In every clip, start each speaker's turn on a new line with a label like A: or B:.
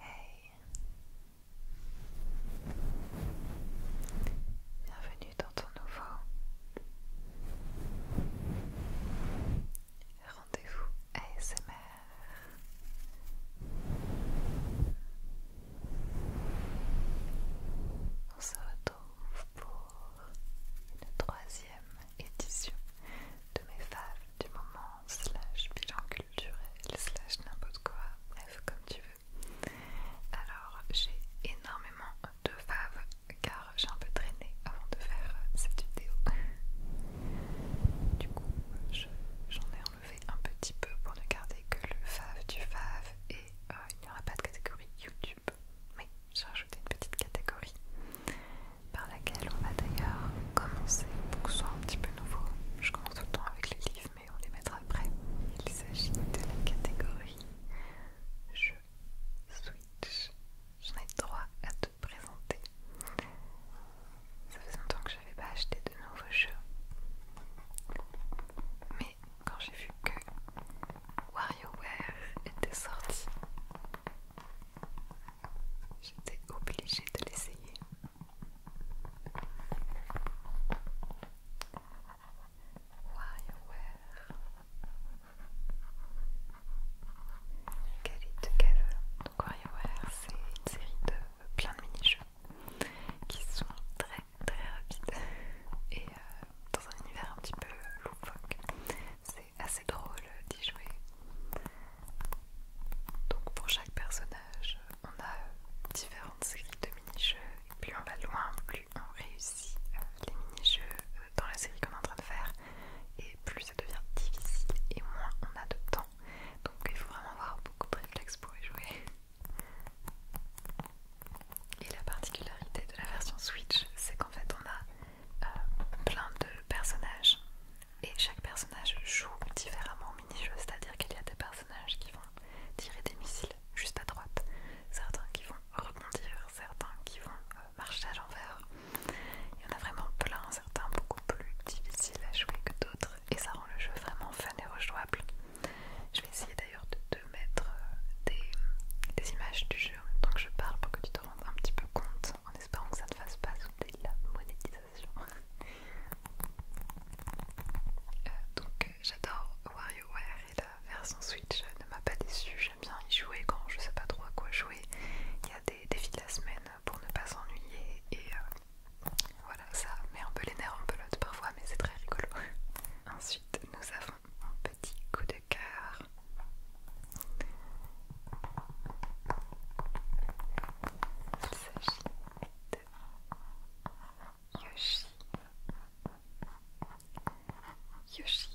A: Hey Bienvenue dans ton nouveau rendez-vous ASMR. On se retrouve pour une troisième édition de mes faves du moment, slash bilan culturel, slash n'importe quoi, bref, comme tu veux. Alors, j'ai énormément de faves car j'ai un peu traîné avant de faire cette vidéo. Du coup, j'en ai enlevé un petit peu pour ne garder que le fave du fave et euh, il n'y aura pas de catégorie YouTube, mais j'ai rajouté une petite catégorie par laquelle on va d'ailleurs commencer pour que ce soit un petit peu nouveau. Je commence tout le temps avec les livres, mais on les mettra après. Il s'agit de la catégorie Jeux Switch. J'en ai droit à te présenter. Ça faisait longtemps que je n'avais pas acheté de nouveaux jeux. Mais quand j'ai vu que WarioWare était sorti, J'étais obligée de l'essayer. WarioWare Get It Together. Donc WarioWare, c'est une série de plein de mini-jeux qui sont très très rapides et euh, dans un univers un petit peu loufoque assez drôle d'y jouer. Donc pour chaque personnage, on a différentes séries de mini-jeux. et Plus on va loin, plus on réussit euh, les mini-jeux euh, dans la série qu'on est en train de faire. Et plus ça devient difficile et moins on a de temps. Donc il faut vraiment avoir beaucoup de réflexes pour y jouer. Et la particularité de la version Switch, c'est qu'en fait on a euh, plein de personnages et chaque personnage joue différemment au mini-jeu, c'est-à-dire qu'il y a des personnages qui vont tirer des missiles juste à droite, certains qui vont rebondir, certains qui vont euh, marcher à l'envers. Il y en a vraiment plein, certains beaucoup plus difficiles à jouer que d'autres, et ça rend le jeu vraiment fun et rejouable. Je vais essayer d'ailleurs de, te mettre euh, des, images du jeu, donc je parle pour que tu te rendes un petit peu compte en espérant que ça ne fasse pas sauter la monétisation. Euh, donc euh, j'adore WarioWare et la version Switch euh, ne m'a pas déçue. J'aime bien y jouer quand je sais pas trop à quoi jouer. Il y a des défis de la semaine pour ne pas s'ennuyer et voilà, ça met un peu les nerfs en pelote parfois, mais c'est très rigolo. Ensuite, nous avons un petit coup de cœur Il Yoshi. Yoshi's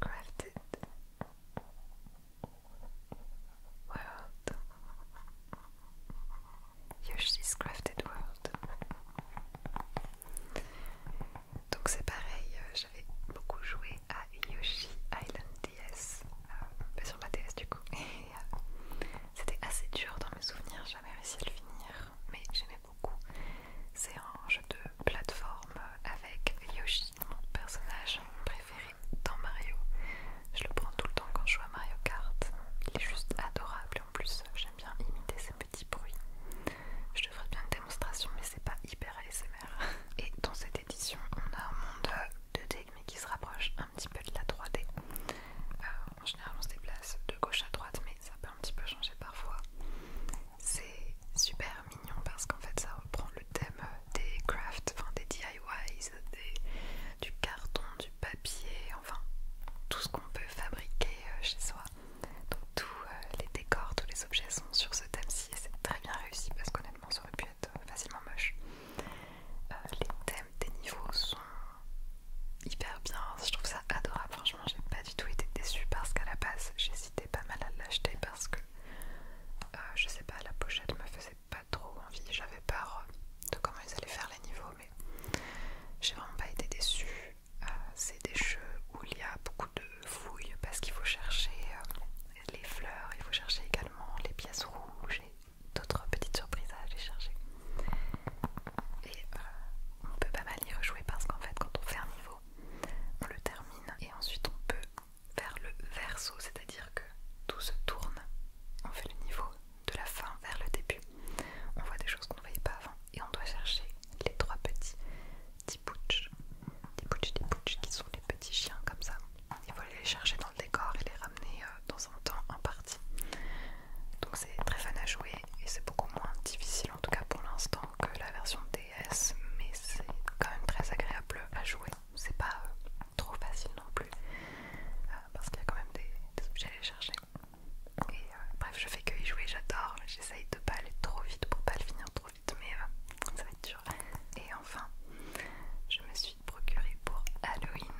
A: Crafted World. Yoshi's Crafted World. Donc c'est pareil, euh, j'avais beaucoup joué à Yoshi Island DS, euh, sur ma DS du coup. Euh, c'était assez dur dans mes souvenirs, j'avais réussi à le finir, mais j'aimais beaucoup. C'est un jeu de plateforme euh, avec Yoshi, mon personnage préféré dans Mario. Je le prends tout le temps quand je joue à Mario Kart. Il est juste adorable et en plus j'aime bien imiter ses petits bruits. Je te ferai bien une démonstration, mais c'est pas hyper ASMR. Et dans cette édition, on a un monde 2D euh, mais qui se rapproche un petit peu de la 3D. Euh, en général, on se déplace de gauche à droite, mais ça peut un petit peu changer parfois. C'est super mignon parce qu'en fait, ça reprend le thème euh, des crafts, enfin des DIYs, du carton, du papier, enfin tout ce qu'on peut fabriquer chez soi. Donc tous les décors, tous les objets sont sur ce thème ci c'est très bien réussi parce qu'honnêtement ça aurait pu être euh, facilement moche. Euh, les thèmes des niveaux sont hyper bien, hein, je trouve ça adorable, franchement j'ai pas du tout été déçue parce qu'à la base j'hésitais pas mal à l'acheter parce que euh, je sais pas la pochette me faisait pas trop envie, j'avais peur de comment ils allaient faire les niveaux mais j'ai vraiment pas été déçue. c'est des jeux où il y a beaucoup de fouilles parce qu'il faut chercher euh, les fleurs, il faut chercher également les pièces rouges et d'autres petites surprises à aller chercher. Et euh, on peut pas mal y rejouer parce qu'en fait quand on fait un niveau, on le termine et ensuite on peut faire le verso, c'est-à-dire que tout se tourne, on fait le niveau de la fin vers le début, on voit des choses qu'on ne voyait pas avant et on doit chercher les trois petits petits des qui sont des petits chiens comme ça. Il vont aller les chercher dans le décor et les ramener euh, dans un temps en partie. Donc c'est très fun à jouer et c'est beaucoup moins difficile en tout cas pour l'instant que la version DS, mais c'est quand même très agréable à jouer. C'est pas euh, trop facile non plus euh, parce qu'il y a quand même des, objets à aller chercher. Et bref, je fais que y jouer, j'adore. J'essaye de pas aller trop vite pour pas le finir trop mais euh, ça va être dur. Et enfin, je me suis procuré pour Halloween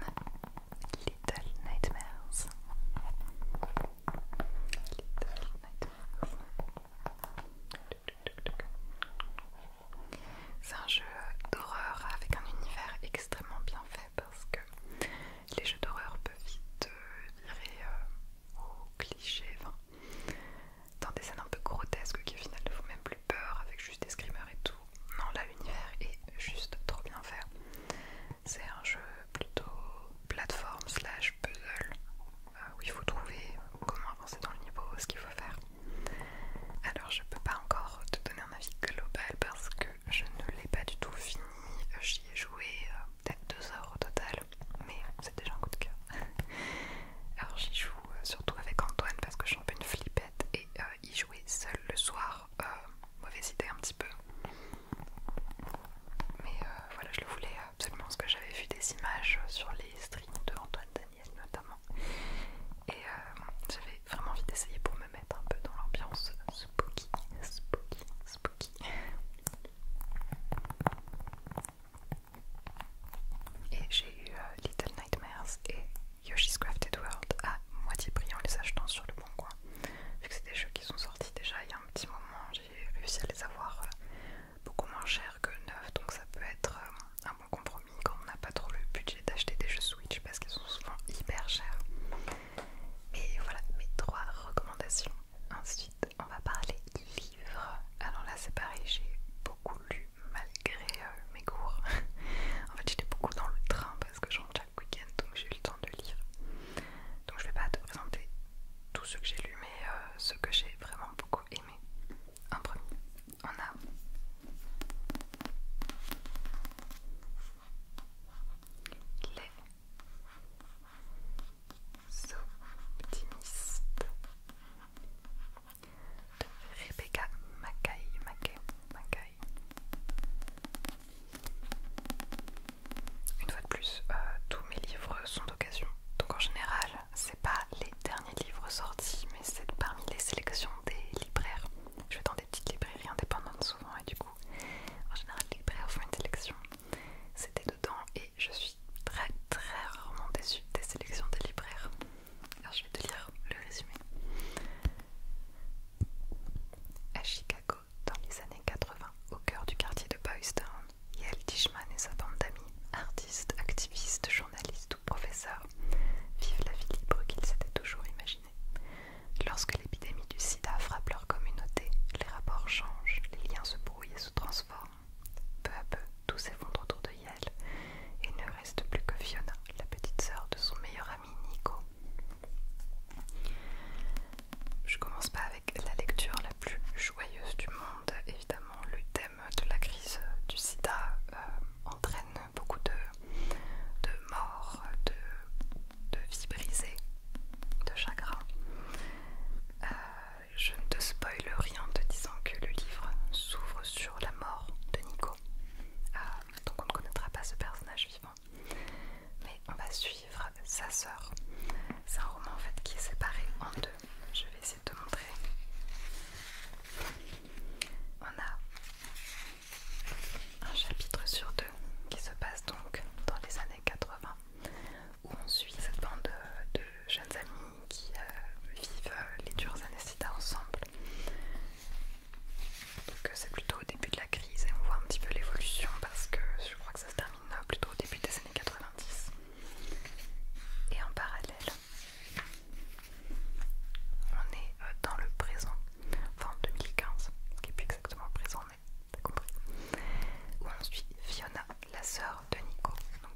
A: Little Nightmares. Little Nightmares. C'est un jeu d'horreur avec un univers extrêmement bien fait parce que les jeux d'horreur peuvent vite euh, virer euh, au cliché dans des scènes un peu grotesques qui au final ne font même plus peur avec juste des screamers et tout. Non, là l'univers est juste trop bien fait. C'est un jeu plutôt plateforme slash puzzle euh, où il faut trouver comment avancer dans le niveau, ce qu'il faut faire. Alors je peux pas encore te donner un avis global parce que je ne l'ai pas du tout fini. J'y ai joué euh, peut-être deux heures au total mais c'est déjà un coup de cœur. Alors j'y joue euh, surtout avec Antoine parce que je suis un peu une flippette et y euh, jouer seul le soir, euh, mauvaise idée un petit peu. Mais voilà, je le voulais absolument parce que j'avais vu des images sur les streams de Antoine Daniel notamment. Et j'avais vraiment envie d'essayer pour me mettre un peu dans l'ambiance spooky, spooky, spooky. Et j'ai eu euh, Little Nightmares et Yoshi's Crafted World à moitié prix en les achetant sur le bon coin. Vu que c'est des jeux qui sont sortis déjà il y a un petit moment, j'ai réussi à les avoir euh, beaucoup moins chers que neufs, donc ça peut être euh, un bon compromis quand on n'a pas trop le budget d'acheter des jeux Switch parce qu'ils sont souvent hyper chers. Mais voilà mes trois recommandations. Ensuite, on va parler alors ah là, c'est pareil, j'ai beaucoup lu malgré euh, mes cours. en fait, j'étais beaucoup dans le train parce que je chaque week-end, donc j'ai eu le temps de lire. Donc, je vais pas te présenter tout ce que j'ai lu, mais euh, ce que j'ai vraiment beaucoup aimé. En premier, on a les optimiste de Rebecca Mackay, Une fois de plus, euh, tous mes livres sont d'occasion. Donc en général, c'est pas les derniers livres sortis, mais c'est parmi les sélections des libraires. Je vais dans des petites librairies indépendantes souvent et du coup, en général, les libraires font une sélection. C'est et je suis très très rarement déçue des sélections des libraires. Alors je vais te lire le résumé. À Chicago, dans les années 80, au cœur du quartier de Boystown, Yael Tishman et sa bande d'amis, artistes, activistes, journalistes ou professeurs, vivent la vie libre qu'ils s'étaient toujours imaginée. Lorsque l'épidémie du sida frappe leur communauté, les rapports changent, les liens se brouillent et se transforment. Peu à peu, tout s'effondre autour de Yael et ne reste plus que Fiona, la petite sœur de son meilleur ami Nico. Je commence pas avec la lecture la plus joyeuse du monde. Évidemment, le thème de la crise du sida euh, entraîne beaucoup de, de morts, de, de vies de chagrin. Euh, je ne te spoile rien en te disant que le livre s'ouvre sur la mort de Nico. donc ah, on ne connaîtra pas ce personnage vivant. Mais on va suivre sa sœur. C'est un roman en fait qui est séparé en deux. Je vais essayer de te montrer. On a un chapitre sur deux qui se passe donc dans les années 80 où on suit cette bande de, jeunes amis qui euh, vivent euh, les dures années ensemble. Donc euh, c'est plutôt au début de la crise et on voit un petit peu l'évolution parce que je crois que ça se termine plutôt au début des années 90. Et en parallèle, on est dans le présent, enfin en 2015, ce qui n'est plus exactement présent mais t'as compris, où on suit Fiona, la sœur de Nico,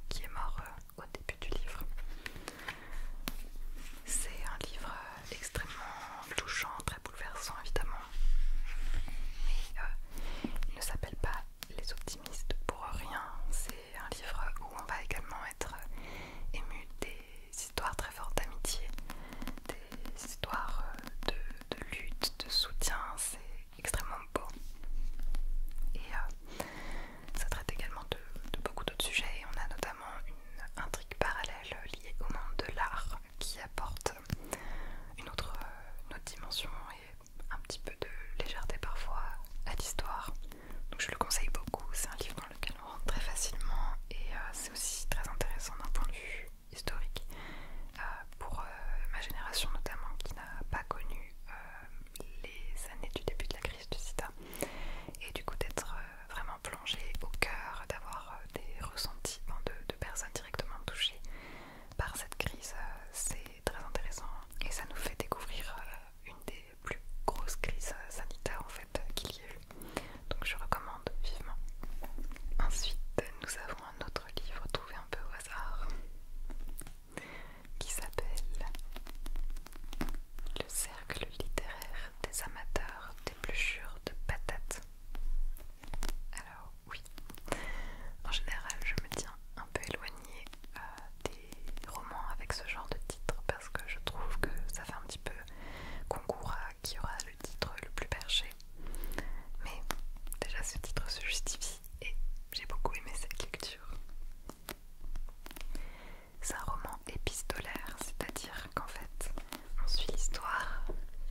A: qui est mort euh, au début du livre. C'est un livre euh, extrêmement touchant, très bouleversant évidemment. Mais euh, il ne s'appelle pas Les optimistes pour rien. C'est un livre où on va également être ému des histoires très fortes d'amitié, des histoires de, de lutte, de soutien. C'est extrêmement beau. Et euh, ça traite également de, beaucoup d'autres sujets. on a notamment une intrigue parallèle liée au monde de l'art qui apporte une autre, dimension et un petit peu de légèreté parfois à l'histoire. Donc je le conseille beaucoup. C'est un livre dans lequel on rentre très facilement et euh, c'est aussi très intéressant d'un point de vue historique euh, pour ma génération notamment qui n'a pas connu les années du début de la crise du sida et du coup d'être euh, vraiment plongé au cœur, d'avoir euh, des ressentis de, personnes directement touchées par cette crise, euh, c'est très intéressant et ça nous fait découvrir une des plus grosses crises sanitaires en fait qu'il y a eu. Donc je recommande vivement. Ensuite, nous avons un autre livre trouvé un peu au hasard qui s'appelle Le cercle littéraire des amateurs des d'épluchures de patates. Alors oui, en général je me tiens un peu éloignée euh, des romans avec ce genre de titre parce que je trouve que ça fait un petit peu concours à qui aura le titre le plus perché. Mais déjà ce titre se justifie et j'ai beaucoup aimé cette lecture. C'est un roman épistolaire, c'est-à-dire qu'en fait, on suit l'histoire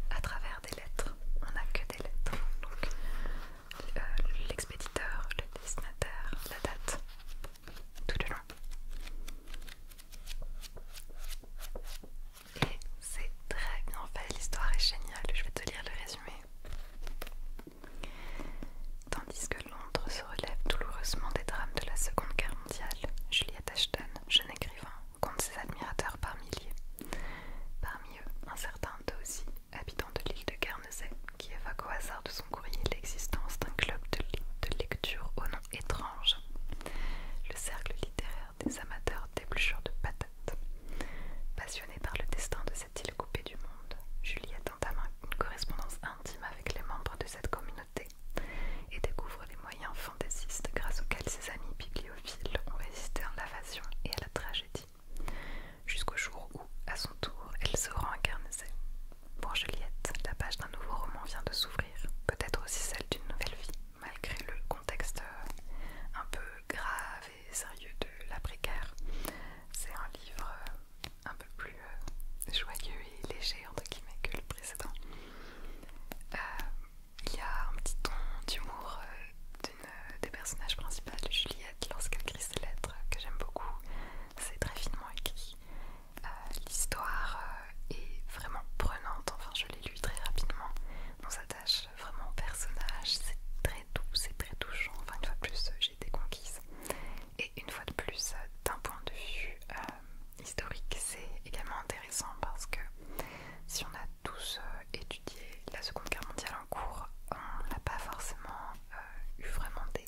A: à travers des lettres. On n'a que des lettres. Donc, euh, l'expéditeur, le destinataire, la date, tout le long. Et c'est très bien fait, l'histoire est géniale. Je vais te lire le résumé. Tandis que Londres se relève douloureusement des drames de la Seconde Guerre mondiale, Juliette Ashton, jeune écrivain, compte ses admirateurs par milliers. Parmi eux, un certain Dawsey, habitant de l'île de Guernesey, qui évoque au hasard de son courrier l'existence d'un club de, lecture au nom étrange, le cercle littéraire des amateurs d'épluchures de patates. Passionné par le destin de ses sest il coupé du monde, Juliette entame une correspondance intime avec les membres de cette communauté et découvre les moyens fantaisistes grâce auxquels ses amis bibliophiles ont résisté à l'invasion et à la tragédie, jusqu'au jour où, à son tour, elle se rend Pour Juliette, la page d'un nouveau roman vient de s'ouvrir, peut-être aussi celle d'une nouvelle vie, malgré le contexte euh, un peu grave sérieux de la guerre C'est un livre euh, un peu plus euh, joyeux et léger entre guillemets que le précédent. Euh, il y a un petit ton d'humour des personnages principaux, Juliette, lorsqu'elle écrit ses lettres, que j'aime beaucoup. C'est très finement écrit. L'histoire est vraiment prenante, enfin je l'ai lu très rapidement. sa s'attache Vraiment vraiment personnage, c'est très doux, c'est très touchant. Enfin, une fois de plus, j'ai été conquise. Et une fois de plus, euh, d'un point de vue euh, historique, c'est également intéressant parce que si on a tous euh, étudié la Seconde Guerre mondiale en cours, on n'a pas forcément eu vraiment des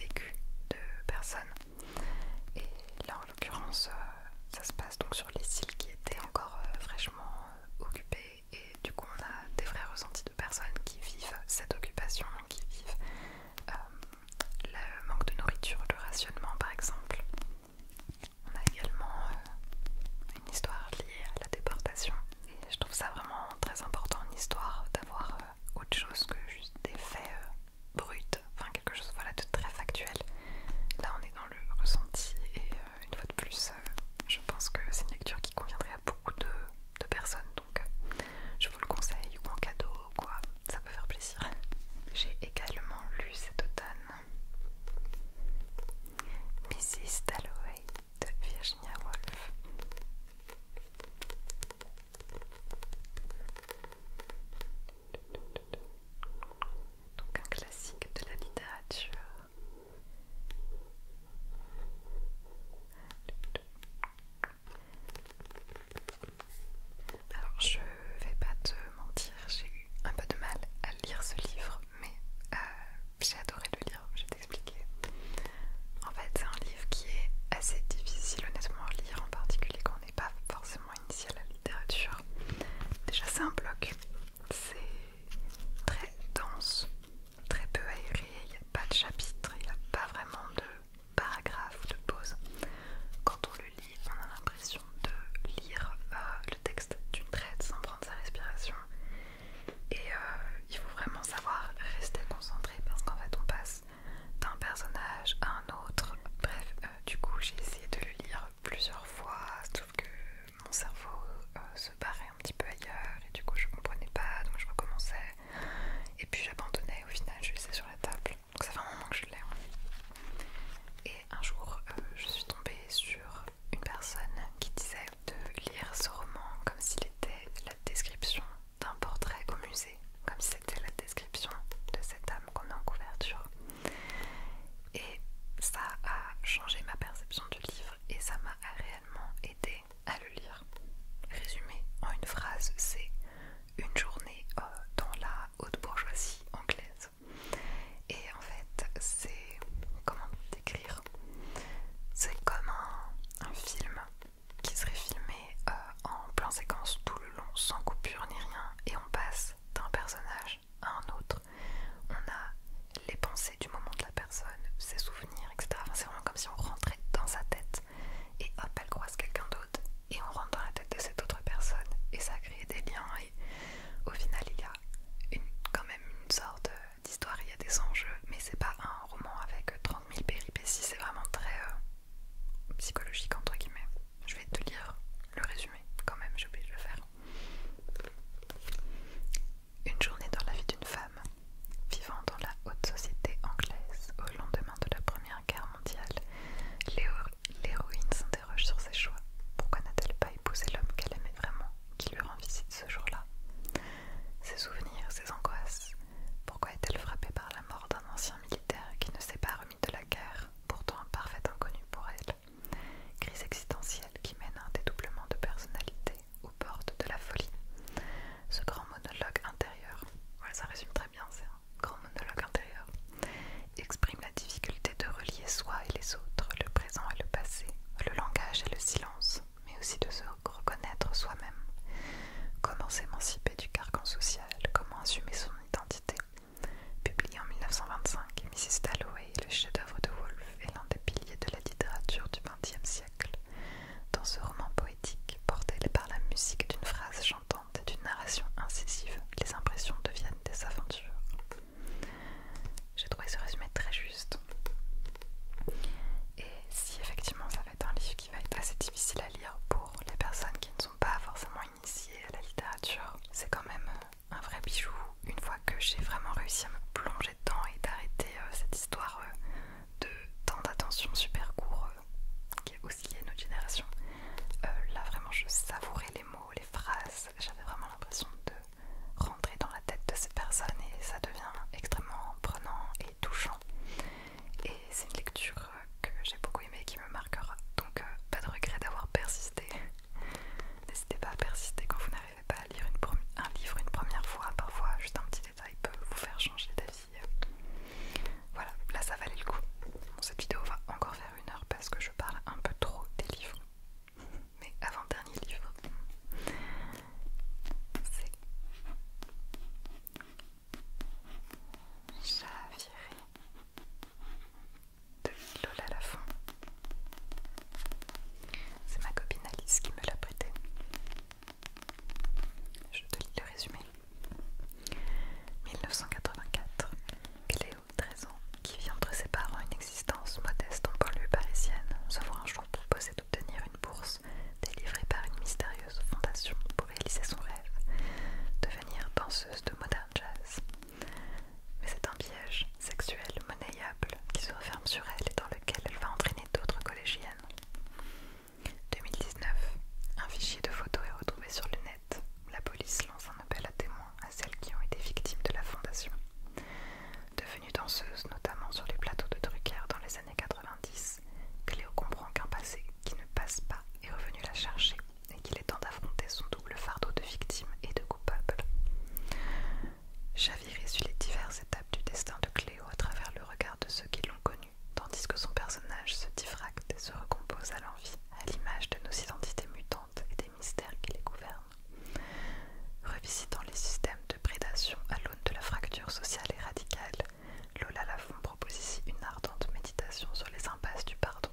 A: vécus de personnes. Et là, en l'occurrence, ça se passe donc sur les cils qui étaient encore fraîchement occupés et du coup on a des vrais ressentis de personnes qui vivent cette occupation, qui vivent euh, le manque de nourriture, le rationnement par exemple. On a également euh, une histoire liée à la déportation et je trouve ça vraiment très important en histoire d'avoir euh, autre chose que juste des faits bruts, enfin quelque chose voilà, de très factuel. Là on est dans le ressenti et... Euh, une fois de plus, euh, je pense que c'est une lecture qui conviendrait à beaucoup de, personnes, donc euh, je vous le conseille, ou en cadeau, ou quoi, ça peut faire plaisir. J'ai également lu cet automne Mrs. Dalloway de Virginia Woolf. Donc un classique de la littérature alors je vais pas te mentir, j'ai eu un peu de mal à lire ce livre, mais euh, j'ai adoré le lire, je vais t'expliquer. En fait c'est un livre qui est assez difficile honnêtement à lire, en particulier quand on n'est pas forcément initié à la littérature. Déjà c'est un bloc, c'est très dense très peu aéré, il n'y a pas de chapitre, il n'y a pas vraiment de paragraphe ou de pause. Quand on le lit, on a l'impression de lire euh, le texte d'une traite sans prendre sa respiration. Et euh, il faut vraiment savoir rester concentré parce qu'en fait on passe d'un personnage à un autre. Bref, euh, du coup j'ai essayé de le lire plusieurs fois, sauf que mon cerveau euh, se barrait un petit peu ailleurs et du coup je comprenais pas donc je recommençais et puis j'abandonnais au final je laissais sur la table donc ça fait un moment que je l'ai hein. et un jour euh, je suis tombée sur une personne qui disait de lire ce roman comme s'il était la description d'un portrait au musée comme si c'était la description de cette âme qu'on a en couverture et ça a changé ma perception du livre et ça m'a réellement aidé à le lire. Résumé en une phrase, c'est une journée euh, dans la haute bourgeoisie anglaise. Et en fait, c'est comment décrire C'est comme un, film qui serait filmé euh, en plein séquence tout le long, sans coupure ni rien, et on passe d'un personnage à un autre. On a les pensées du moment de la personne, ses souvenirs, etc. c'est vraiment comme si on rentrait dans sa tête et hop, elle croise quelqu'un d'autre et on rentre dans la tête de cette autre personne et ça crée des liens et au final il y a quand même une sorte d'histoire, il y a des enjeux, mais c'est pas un roman avec 30 000 péripéties, c'est vraiment très euh, psychologique entre guillemets. Je vais te lire le résumé quand même, j'ai oublié de le faire. Une journée dans la vie d'une femme, vivant dans la haute société anglaise au lendemain de la Première Guerre mondiale, l'héroïne s'interroge sur ses choix. Pourquoi n'a-t-elle pas épousé l'homme qu'elle aimait vraiment, qui lui rend visite ce jour-là Ses souvenirs, ses angoisses. Pourquoi est-elle frappée par la mort d'un ancien militaire qui ne s'est pas remis de la guerre, pourtant un parfait inconnu pour elle Crise existentielle qui mène à un dédoublement de personnalité aux portes de la folie. Ce grand monologue intérieur, ça résume très bien, c'est un grand monologue intérieur, exprime la difficulté de relier soi et les autres, le présent et le passé, le langage et le silence, mais aussi de se reconnaître soi-même. Comment s'émanciper du carcan social, comment assumer son identité. Publié en 1925, Mrs. Dalloway, le chef-d'œuvre de Woolf, est l'un des piliers de la littérature du siècle, dans ce roman poétique porté par la musique d'une phrase chantante et d'une narration incisive, les impressions deviennent des aventures. J'ai trouvé ce résumé très juste. Et si effectivement ça va être un livre qui va être assez difficile à lire pour les personnes qui ne sont pas forcément initiées à la littérature, c'est quand même euh, un vrai bijou une fois que j'ai vraiment réussi à me plonger temps et d'arrêter euh, cette histoire euh, de temps d'attention super court euh, qui est aussi liée à notre génération. là vraiment je savourais les mots, les phrases, j'avais vraiment l'impression de rentrer dans la tête de ces personnes et ça devient extrêmement prenant et touchant. Et c'est une lecture que j'ai beaucoup aimée qui me marquera. Donc pas de regret d'avoir persisté. N'hésitez pas à persister quand vous n'arrivez n'arrivez pas à lire un livre une première fois, parfois juste un petit détail peut vous faire changer d'avis. Voilà, là ça valait le coup. cette vidéo va encore faire une heure parce que je parle un peu trop des livres. Mais avant-dernier livre, c'est Chaviré de Lola fin c'est ma copine Alice qui me l'a prêté. Je te lis le résumé. 1984. Cléo, 13 ans, qui vit entre ses parents une existence modeste en banlieue parisienne, se voit un jour proposer d'obtenir une bourse délivrée par une mystérieuse fondation pour réaliser son rêve, devenir danseuse de modern jazz. Mais c'est un piège sexuel qui se referme sur elle et dans lequel elle va entraîner d'autres collégiennes. 2019. Un fichier de photos est retrouvé sur le net. La police lance un appel à témoins à celles qui ont été victimes de la fondation. Devenue danseuse, notamment sur les plateaux de Drucker dans les années 90, Cléo comprend qu'un passé qui ne passe pas est revenu la chercher et qu'il est temps d'affronter son double fardeau de victime et de coupable. Javier suit les diverses étapes du destin de Cléo à travers le regard de ceux qui l'ont connu, tandis que son personnage se diffracte et se recompose à l'envie, à l'image de nos identités mutantes et des mystères qui les gouvernent. Revisitant les systèmes de prédation à l'aune de la fracture sociale et radicale, Lola Lafon propose ici une ardente méditation sur les impasses du pardon,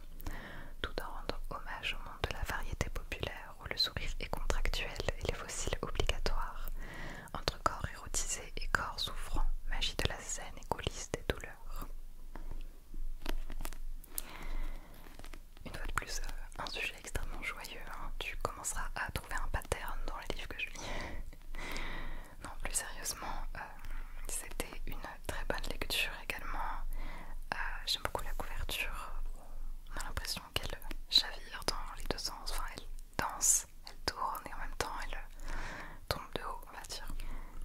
A: tout en rendant hommage au monde de la variété populaire où le sourire est contractuel et les fossiles obligatoires, entre corps érotisé et corps souffrant, magie de la scène et coulisses des douleurs. Une fois de plus, euh, un sujet extrêmement joyeux, hein. tu commenceras à trouver un pattern dans les livres que je lis. non, plus sérieusement, euh, c'était une très bonne lecture également. Euh, j'aime beaucoup la couverture, on a l'impression donc qu'elle euh, chavire dans les deux sens, enfin elle danse, elle tourne et en même temps elle euh, tombe de haut, on va dire.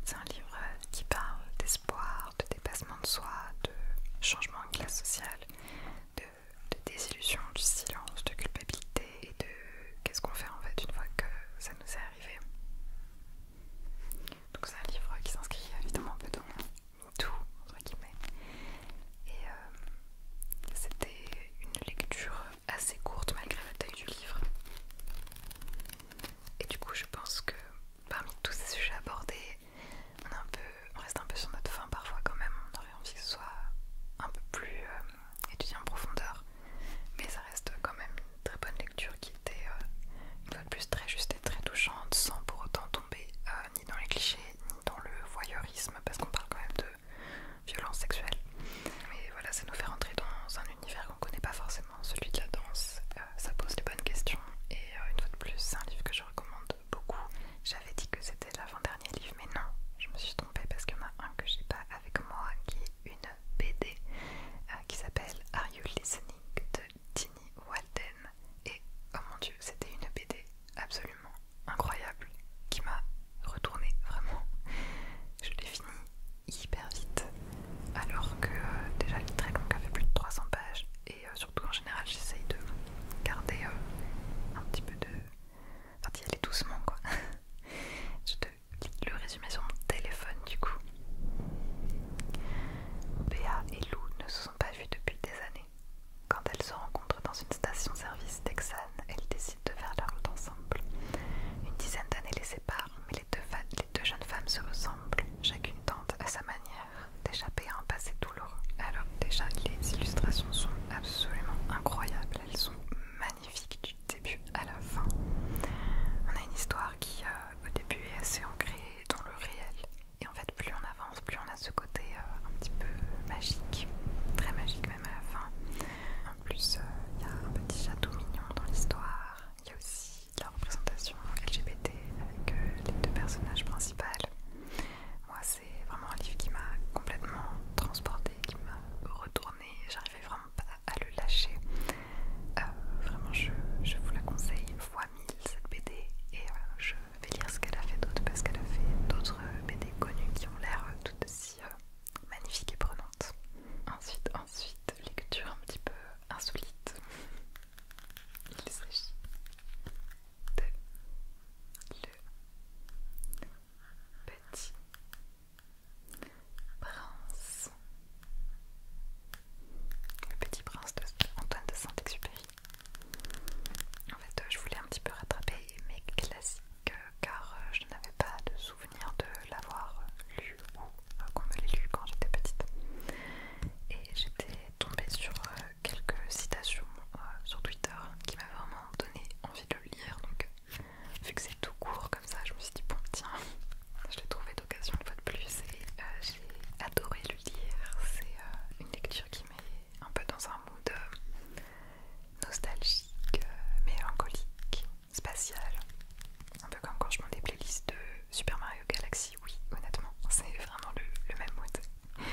A: C'est un livre euh, qui parle d'espoir, de dépassement de soi, de changement de classe sociale, de, de désillusion, du silence, de culpabilité et de qu'est-ce qu'on fait en fait une fois que ça nous est arrivé. Donc c'est un livre qui s'inscrit évidemment un peu dans tout, entre Et euh, c'était une lecture assez courte malgré la taille du livre. Et du coup, je pense que parmi tous ces sujets abordés, on, un peu, reste un peu sur notre fin parfois quand même. On aurait envie que ce soit un peu plus euh, étudié en profondeur. Mais ça reste quand même une très bonne lecture qui était euh, une fois de plus très juste et très touchante sans pour autant tomber ni dans les clichés, ni dans le voyeurisme, parce qu'on parle quand même de violence sexuelle. Mais voilà, ça nous fait rentrer dans un univers qu'on connaît pas forcément, celui de la danse. Euh, ça pose les bonnes questions, et euh, une fois de plus, c'est un livre que je recommande beaucoup. J'avais dit que c'était l'avant-dernier livre, mais non, je me suis trompée parce qu'il y en a un que j'ai pas avec moi qui est une BD euh, qui s'appelle Are You Listening de Tini Walden. Et oh mon dieu, c'était une BD absolument incroyable qui m'a retournée, vraiment. Je l'ai fini hyper vite, alors que euh, déjà, déjà est très elle fait plus de 300 pages. Et euh, surtout en général, j'essaye de garder euh, un petit peu de. Enfin, d'y aller doucement quoi. Je te lis le résumé sur mon téléphone du coup. Bea et Lou ne se sont pas vus depuis des années. Quand elles se rencontrent dans une station-service texane, elles décident de faire leur route ensemble. Une dizaine d'années les séparent, mais les deux, jeunes femmes se ressemblent. Chacune tente à sa manière d'échapper à un passé douloureux. Alors déjà, les illustrations sont absolument incroyables. Elles sont magnifiques du début à la fin. On a une histoire qui, euh, au début, est assez ancrée dans le réel et en fait, plus on avance, plus on a ce côté euh, un petit peu magique, très magique même à la fin. En plus, euh, il y a un petit château mignon dans l'histoire. Il y a aussi la représentation LGBT avec euh, les deux personnages principaux. Moi, c'est vraiment un livre qui m'a complètement transporté qui m'a retournée. J'arrivais vraiment pas à le lâcher. vraiment, je, vous la conseille fois 1000 cette BD et vais lire ce qu'elle a fait d'autre parce qu'elle a fait d'autres BD euh, connues qui ont l'air euh, tout aussi euh, magnifiques et prenantes. Ensuite, ensuite, lecture un petit peu insolite. Il s'agit de le petit prince. Le petit prince de Antoine de Saint-Exupéry. En fait, euh, je voulais un petit peu rattraper mes classiques euh, car euh, je n'avais pas de souvenir de l'avoir lu ou qu'on me l'ait lu quand j'étais petite. Et j'étais tombée sur quelques citations sur Twitter qui m'avaient vraiment donné envie de le lire. Donc, vu que c'est tout court comme ça, je me suis dit, bon, tiens, je l'ai trouvé d'occasion une fois de plus et j'ai adoré le lire. C'est une lecture qui m'est un peu dans un mood euh, nostalgique, euh, mélancolique, spatial. Un peu comme quand je mets des playlists de Super Mario Galaxy, oui, honnêtement, c'est vraiment le, même mood.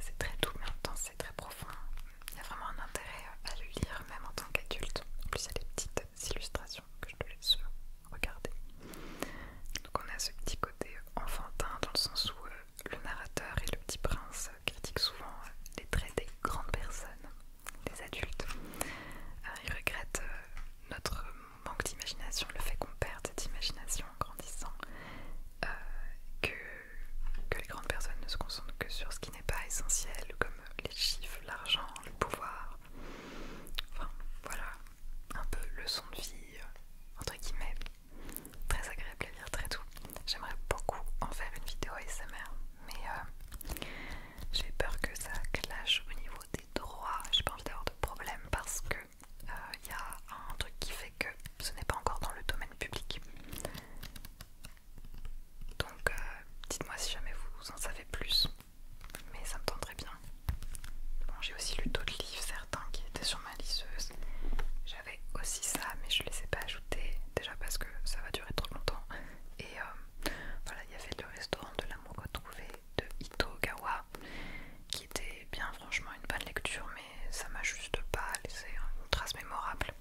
A: C'est très doux, mais en même temps, c'est très profond. Il y a vraiment un intérêt à le lire, même en tant qu'adulte. En plus, il y a des petites illustrations que je te laisse regarder. Donc, on a ce petit côté enfantin dans le sens où euh, le narrateur et le petit prince critiquent souvent euh, les traits des grandes personnes, des adultes. Euh, ils regrettent euh, notre manque d'imagination, le fait qu'on perde cette imagination en grandissant, que, que les grandes personnes ne se concentrent que sur ce qui n'est pas essentiel, comme les chiffres, l'argent, le pouvoir. Enfin, voilà, un peu leçon de vie, entre guillemets très agréable à lire, très doux. J'aimerais beaucoup en faire une vidéo ASMR, mais euh, j'ai peur que ça clash au niveau des droits. J'ai pas envie d'avoir de problème parce que il euh, y a un truc qui fait que ce n'est pas encore dans le domaine public. Donc, euh, dites-moi si jamais vous en savez plus, mais ça me tenterait bien. Bon, j'ai aussi lu d'autres livres, qui était sur ma lisseuse. J'avais aussi ça, mais je ne les ai pas ajoutés, déjà parce que ça va durer trop longtemps. Et euh, voilà, il y avait le restaurant de l'amour retrouvé de Itogawa, qui était bien franchement une bonne lecture, mais ça m'a juste pas laissé une trace mémorable.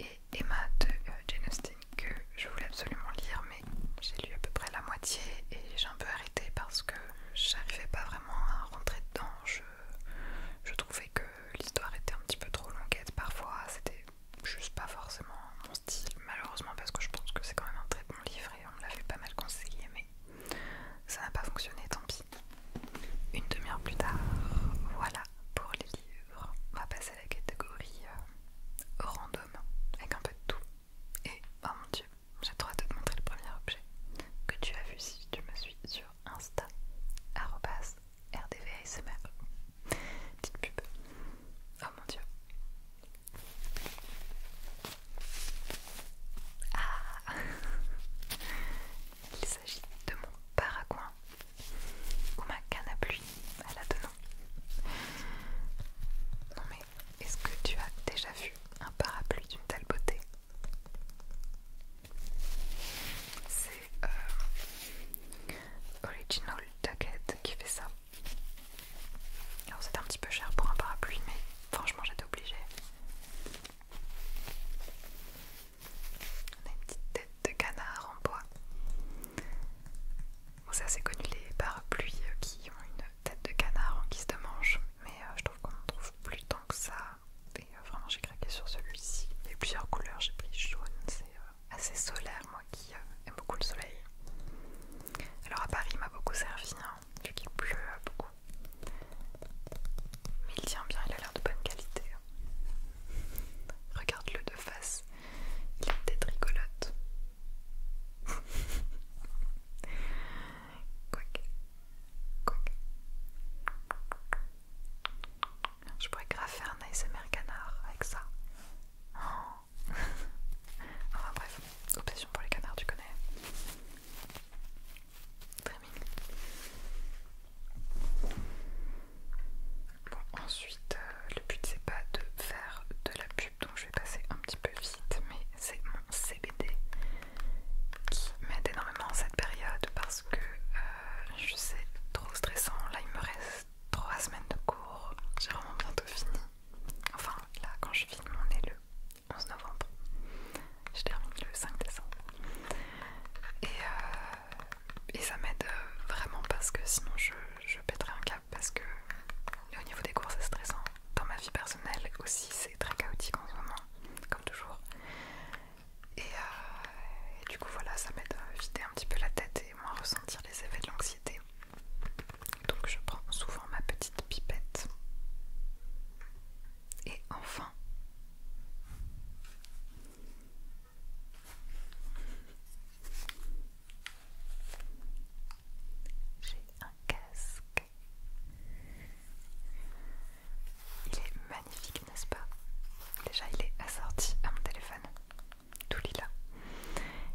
A: Et Emma de euh, Jane Austen, que je voulais absolument lire, mais j'ai lu à peu près la moitié et j'ai un peu arrêté parce que j'arrivais pas vraiment à rentrer dedans je trouvais que l'histoire était un petit peu trop longuette parfois, c'était juste pas forcément mon style, malheureusement parce que je pense que c'est quand même un très bon livre et on me fait pas mal conseiller mais ça n'a pas fonctionné, tant pis. Une demi-heure plus tard, voilà pour les livres. On va passer à la catégorie euh, random, avec un peu de tout. Et oh mon dieu, j'ai le droit de te montrer le premier objet que tu as vu si tu me suis sur Insta @rdvasmr. Petite pub. Oh mon dieu. Ah Il s'agit de mon parapluie ou ma canne à pluie à la Non mais est-ce que tu as déjà vu un parapluie d'une telle beauté c'est euh, Original Ducket qui fait ça. Alors c'était un petit peu cher pour un parapluie, mais franchement j'étais obligée. On a une petite tête de canard en bois. c'est assez connu les parapluies euh, qui ont une tête de canard en guise de manche, mais euh, je trouve qu'on en trouve plus tant que ça et euh, vraiment, j'ai craqué sur celui-ci. Il y a plusieurs couleurs, j'ai pris jaune, c'est euh, assez solaire, moi qui euh, aime beaucoup le soleil. Alors à Paris, il m'a beaucoup servi, hein, vu qu'il pleut beaucoup. Mais il tient bien, il a l'air de bonne qualité. Hein. Regarde-le de face, il est peut rigolote. Quick. Quick. Je pourrais graffer un ASMR canard avec ça. Oh. bref, obsession pour les canards, tu connais. Très Bon, ensuite, euh, le but c'est pas de faire de la pub, donc je vais passer un petit peu vite, mais c'est mon CBD qui m'aide énormément en cette période parce que c'est euh, je trop stressant. Là, il me reste 3 semaines de cours. J'ai vraiment bientôt fini. Enfin, là, quand je filme, on est le 11 novembre. Je termine le 5 décembre. Euh, et, ça m'aide euh, vraiment parce que sinon je, je pèterai un cap parce que au niveau des cours c'est stressant. Dans ma vie personnelle aussi c'est très chaotique en ce moment, comme toujours. Euh, et, du coup, voilà, ça m'aide à vider un petit peu la tête et moins ressentir les effets de l'anxiété. Donc, je prends souvent ma petite pipette. Et enfin, j'ai un casque. Il est magnifique, n'est-ce pas Déjà, il est assorti à mon téléphone, tout l'ILA,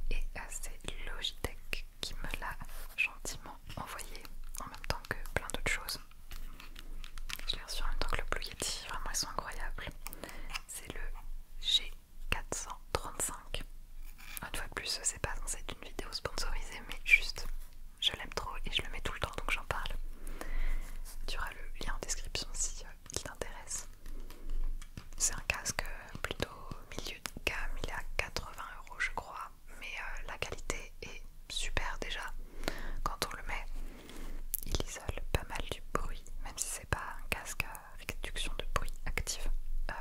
A: Et euh, c'est Logitech qui me l'a gentiment envoyé en même temps que plein d'autres choses. Je l'ai reçu en même temps que le Blue Yeti, vraiment ils sont incroyables. C'est le G435. Une fois de plus, c'est pas censé être une vidéo sponsorisée, mais juste je l'aime trop et je le mets tout le temps donc j'en parle. Tu auras le lien en description si qui euh, t'intéresse. C'est un casque plutôt milieu de gamme, il est à 80 euros je crois, mais euh, la qualité est super déjà. Quand on le met, il isole pas mal du bruit, même si c'est pas un casque à réduction de bruit actif euh,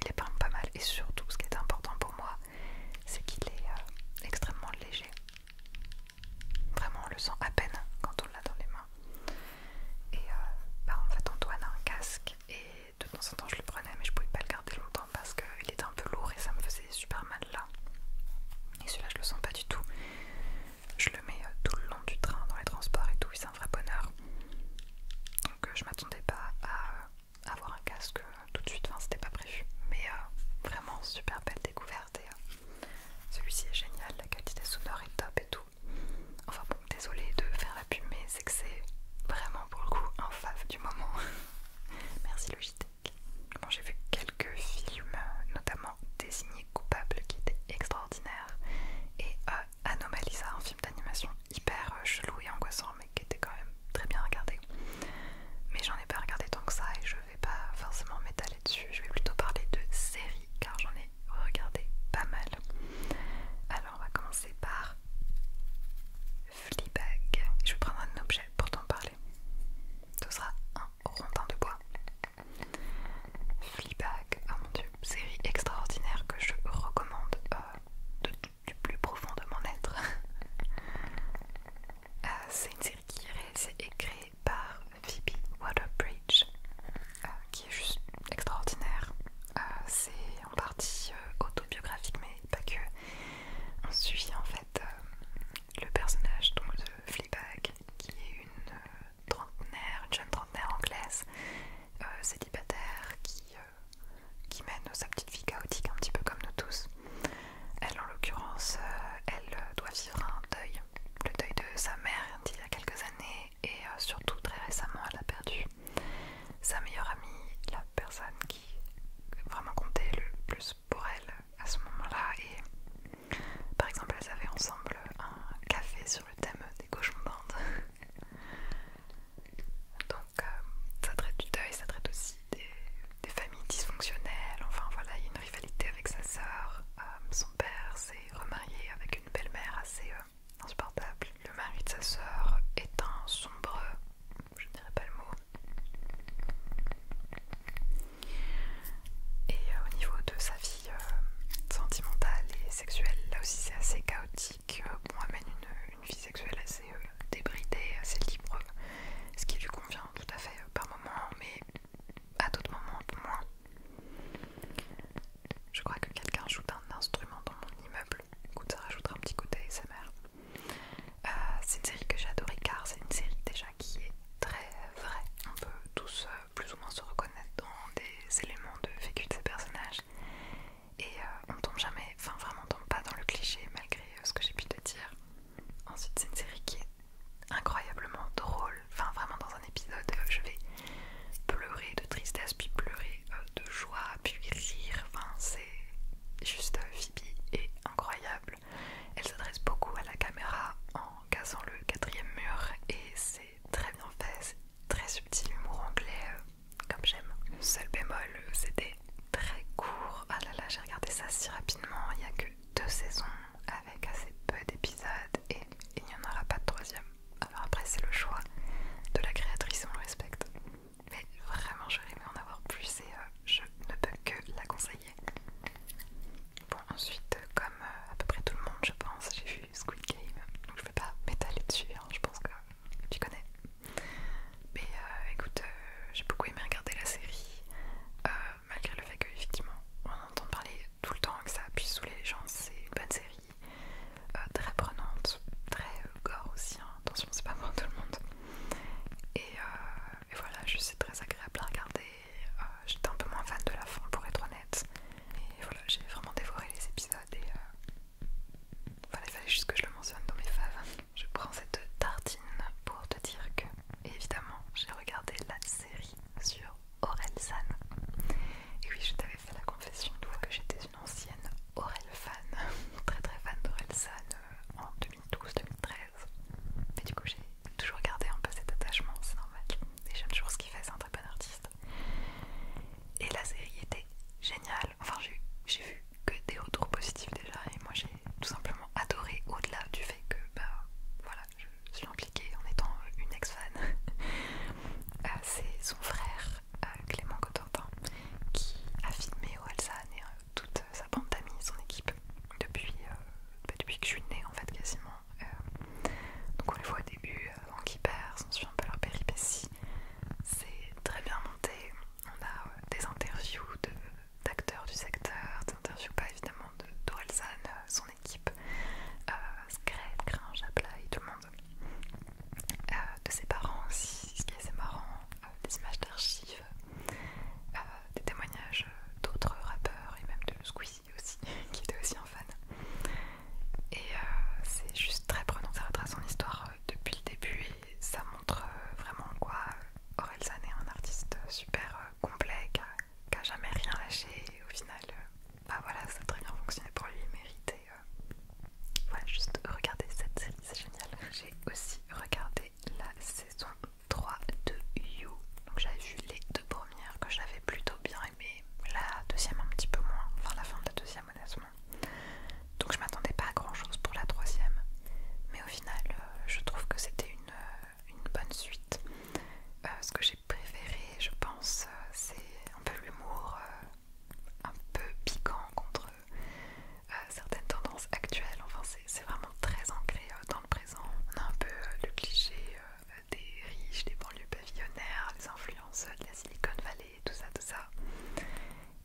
A: il est pas mal et surtout ce qui est important pour moi, c'est qu'il est, euh, extrêmement léger. Vraiment, on le sent à peine quand on l'a dans les mains. Et euh, bah, en fait, Antoine a un casque et de temps en temps je le prenais, mais je pouvais pas le garder longtemps parce qu'il était un peu lourd et ça me faisait super mal là. Et celui-là, je le sens pas du tout. Je le mets euh, tout le long du train, dans les transports et tout, et c'est un vrai bonheur. Donc je m'attendais pas à avoir un casque euh, tout de suite, enfin c'était pas prévu. Mais euh, vraiment super belle découverte et euh, celui-ci est génial, la qualité sonore est top et tout. Enfin bon, désolé de faire la pub, c'est que c'est vraiment pour le coup un fave du moment. Merci Logitech. j'ai vu quelques films, notamment Désigné coupable qui était extraordinaire et Anomalisa, un film d'animation hyper chelou et angoissant mais qui était quand même très bien regardé. Mais j'en ai pas regardé tant que ça et je vais pas forcément m'étaler dessus. Je vais plutôt parler de séries car j'en ai regardé pas mal. Alors on va commencer par Fleabag. Je vais prendre un objet pour t'en parler. Ce sera un rondin de bois. Fleabag, oh mon dieu, série extraordinaire que je recommande euh, de de du plus profond de mon être. Euh, c'est une série qui est réalisée créée par Phoebe Waterbridge, euh, qui est juste extraordinaire. Euh, c'est en partie autobiographique, mais pas que. On suit en fait le personnage donc, de Fleabag, qui est une trentenaire, une jeune trentenaire anglaise, célibataire, qui euh, qui mène sa petite vie chaotique, un petit peu comme nous tous. Elle, en l'occurrence, euh, elle euh, doit vivre un deuil, le deuil de sa mère d'il y a quelques années, et surtout très récemment, elle a perdu sa meilleure amie, la personne qui vraiment comptait le plus pour elle à ce moment-là. Et par exemple, elles avaient ensemble un café sur le thème des cochons d'Inde. Donc euh, ça traite du deuil, ça traite aussi des, familles dysfonctionnelles. Enfin voilà, il y a une rivalité avec sa sœur. Euh, son père s'est remarié avec une belle-mère assez euh, insupportable. Le mari de sa sœur est un sombre, je ne dirais pas le mot. Et au niveau de sa vie sentimentale et sexuelle, là aussi c'est assez chaotique. on amène une, une vie sexuelle assez euh, débridée, assez libre, ce qui lui convient tout à fait euh, par moment, mais à d'autres moments un peu moins. Je crois que quelqu'un joue un instrument dans mon immeuble, écoute ça rajoutera un petit côté ASMR. Euh, c'est une série que j'ai adorée car c'est une série déjà qui est très vraie. On peut tous plus ou moins se reconnaître dans des éléments de vécu de ces personnages et on tombe jamais, enfin vraiment on tombe pas dans le cliché malgré euh, ce que j'ai pu te dire. Ensuite, c'est une série qui est incroyablement drôle. Enfin, vraiment, dans un épisode, euh, je vais pleurer de tristesse, puis pleurer euh, de joie, puis rire. Enfin, c'est juste Phoebe est incroyable. Elle s'adresse beaucoup à la caméra en cassant le quatrième mur et c'est très bien fait. C'est très subtil, humour anglais, comme j'aime. Le seul bémol, c'était très court. Ah là là, j'ai regardé ça si rapidement. Il n'y a que deux saisons avec assez peu d'épisodes et il n'y en aura pas de troisième. Alors après, c'est le choix de la créatrice, on le respecte. Mais vraiment, j'aurais aimé en avoir plus et euh, je ne peux que la conseiller. Bon, ensuite, euh, comme euh, à peu près tout le monde, je pense, j'ai vu Squid Game, donc je ne vais pas m'étaler dessus. Hein. je pense que tu connais. Mais euh, écoute, euh, j'ai beaucoup aimé regarder la série, euh, malgré le fait qu'effectivement, effectivement on entend parler tout le temps que ça appuie sous les gens, c'est une bonne série, très prenante, très gore aussi, hein, attention c'est pas pour tout le monde. Et, voilà, je très agréable à regarder, j'étais un peu moins fan de la fin pour être honnête. Et voilà, j'ai vraiment dévoré les épisodes et, voilà, il fallait juste que je le mentionne dans mes faves. Je prends cette tartine pour te dire que, évidemment, j'ai regardé la série sur Orelsan. Et oui, je t'avais fait la confession que j'étais une ancienne Aurel fan, très très fan d'Orelsan euh, en 2012-2013. Mais du coup, j'ai toujours gardé un peu cet attachement, c'est normal. Et j'aime toujours ce qu'il fait, c'est un très bon artiste. Et la série était géniale. Enfin, j'ai vu que des retours positifs déjà et moi j'ai tout simplement adoré au-delà du fait que bah, voilà, je suis impliquée en étant une ex-fan. Euh, c'est son frère euh, Clément Cotentin qui a filmé Orelsan et euh, toute sa bande d'amis, son équipe depuis, bah, depuis que je suis née en fait quasiment. donc on les voit au début avant qu'ils on suit un peu leur péripéties, C'est très bien monté, on a euh, des interviews d'acteurs du secteur, des interviews pas bah, évidemment de euh, son équipe, Scred, euh, Gringe, Aplay, tout le monde, euh, de ses parents aussi, ce qui est assez marrant, des images d'archives, des témoignages d'autres rappeurs et même de Squeezie aussi, qui était aussi un fan. Et c'est juste très prenant, ça retrace son histoire depuis le début ça montre euh, vraiment quoi Orelsan euh, est un artiste euh, super complet qui a, jamais rien lâché et au final bah voilà ça a très bien fonctionné pour lui il méritait voilà juste regarder cette série c'est génial j'ai aussi regardé la saison 3 de You donc j'avais vu les deux premières que j'avais plutôt bien aimé la deuxième un petit peu moins enfin la fin de la deuxième honnêtement donc je m'attendais pas à grand chose pour la troisième. Mais au final, euh, je trouve que c'était une, euh, bonne suite. Euh, ce que j'ai préféré, je pense, c'est un peu l'humour un peu piquant contre certaines tendances actuelles. Enfin, c'est vraiment très ancré dans le présent. On a un peu le cliché des riches, des banlieues pavillonnaires, les influences de la Silicon Valley, tout ça, tout ça.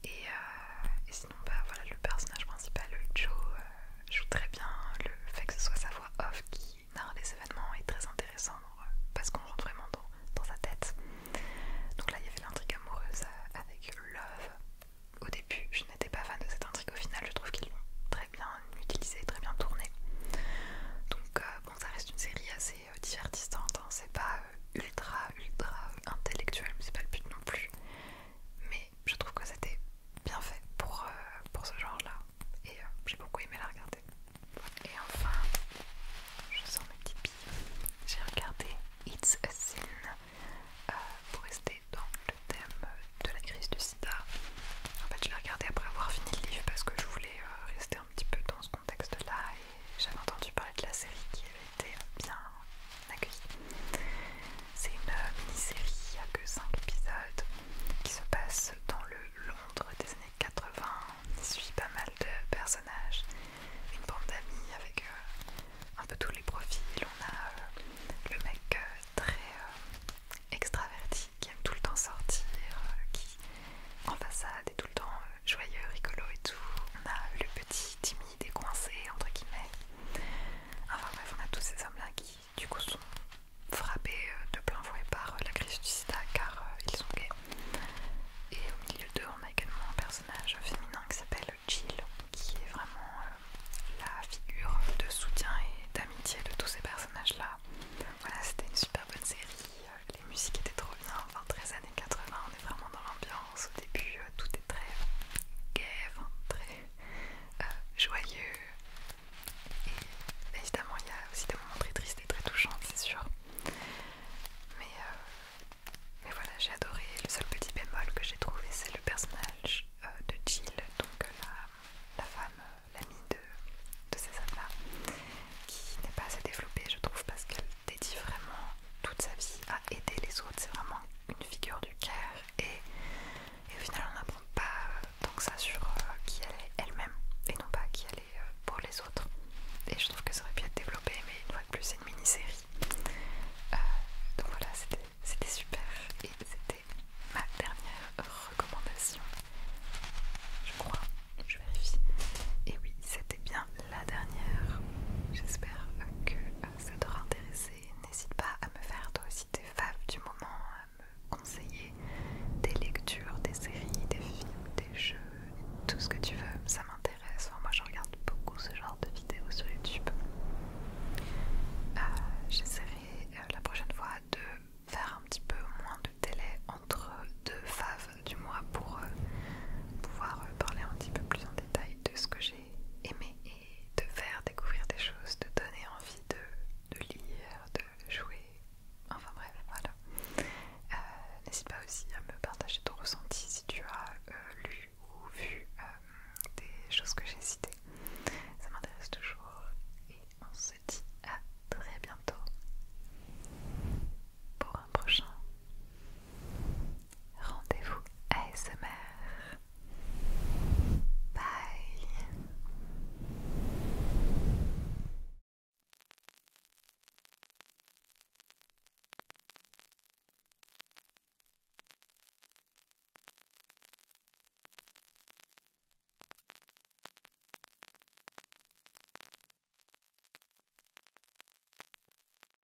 A: Euh, et, sinon, bah, voilà, le personnage principal, Joe, euh, joue très bien. Le fait que ce soit sa voix off qui narre les événements est très intéressant euh, parce qu'on rentre vraiment dans, sa tête. Donc là, il y avait l'intrigue amoureuse avec Love. Au début, je n'étais pas fan de cette intrigue. Au final, je trouve qu'ils l'ont très bien utilisée, très bien tournée. Donc, bon, ça reste une série assez divertissante. Hein. C'est pas ultra, ultra intellectuel, mais c'est pas le but non plus mais je trouve que c'était bien fait pour, euh, pour ce genre là et euh, j'ai beaucoup aimé la regarder et enfin je sens mes petits j'ai regardé It's a Sin euh, pour rester dans le thème de la crise du sida en fait je l'ai regardé après avoir fini le livre parce que je voulais rester un petit peu dans ce contexte là et j'avais entendu parler de la série qui avait été bien c'est une euh, mini-série, il n'y a que 5 épisodes, qui se passe dans le Londres des années 80. Il y suit pas mal de personnages, une bande d'amis avec euh, un peu tous les profils. On a euh, le mec très extraverti qui aime tout le temps sortir, qui en façade est tout le temps joyeux, rigolo et tout. On a le petit timide et coincé entre guillemets. Enfin bref, on a tous ces hommes-là qui du coup sont frappés euh, de plein fouet par euh, la crise du sida car euh, ils sont gays. Et au milieu d'eux, on a également un personnage féminin qui s'appelle Jill, qui est vraiment la figure de soutien et d'amitié de tous ces personnages-là. Voilà, c'était une super bonne série, les musiques étaient trop bien, enfin 13 années 80, on est vraiment dans l'ambiance. Au début, euh, tout est très euh, gai, très euh, joyeux. Et évidemment, il y a aussi des moments très tristes et très touchants, c'est sûr. Mais, mais voilà, j'ai adoré. Le seul petit bémol que j'ai trouvé, c'est le personnage de Jill, donc la, femme, l'amie de, de César là, qui n'est pas assez développée, je trouve, parce qu'elle dédie vraiment toute sa vie à aider les autres. C'est vraiment une figure du cœur et, et au final on n'apprend pas euh, tant que ça sur euh, qui elle est elle-même et non pas qui elle est euh, pour les autres. Et je trouve que ça aurait pu être développé, mais une fois de plus c'est une mini-série. donc voilà, c'était super et c'était ma dernière recommandation. Je crois, je vérifie. Et oui, c'était bien la dernière. J'espère que ah, ça t'aura intéressé, n'hésite pas à me faire toi aussi tes faves du moment, à me conseiller des lectures, des séries, des films, des jeux, tout ce que tu veux, ça m'intéresse. moi je regarde beaucoup ce genre de vidéos sur YouTube. Euh, j'essaierai euh, la prochaine fois de faire un petit peu moins de télé entre deux faves du mois pour euh, pouvoir parler un petit peu plus en détail de ce que j'ai aimer et de faire découvrir des choses, de donner envie de, lire, de jouer, enfin bref, voilà. Euh, n'hésite pas aussi à me partager ton ressenti si tu as euh, lu ou vu euh, des choses que j'ai citées. Ça m'intéresse toujours et on se dit à très bientôt pour un prochain Rendez-vous ASMR. Bye.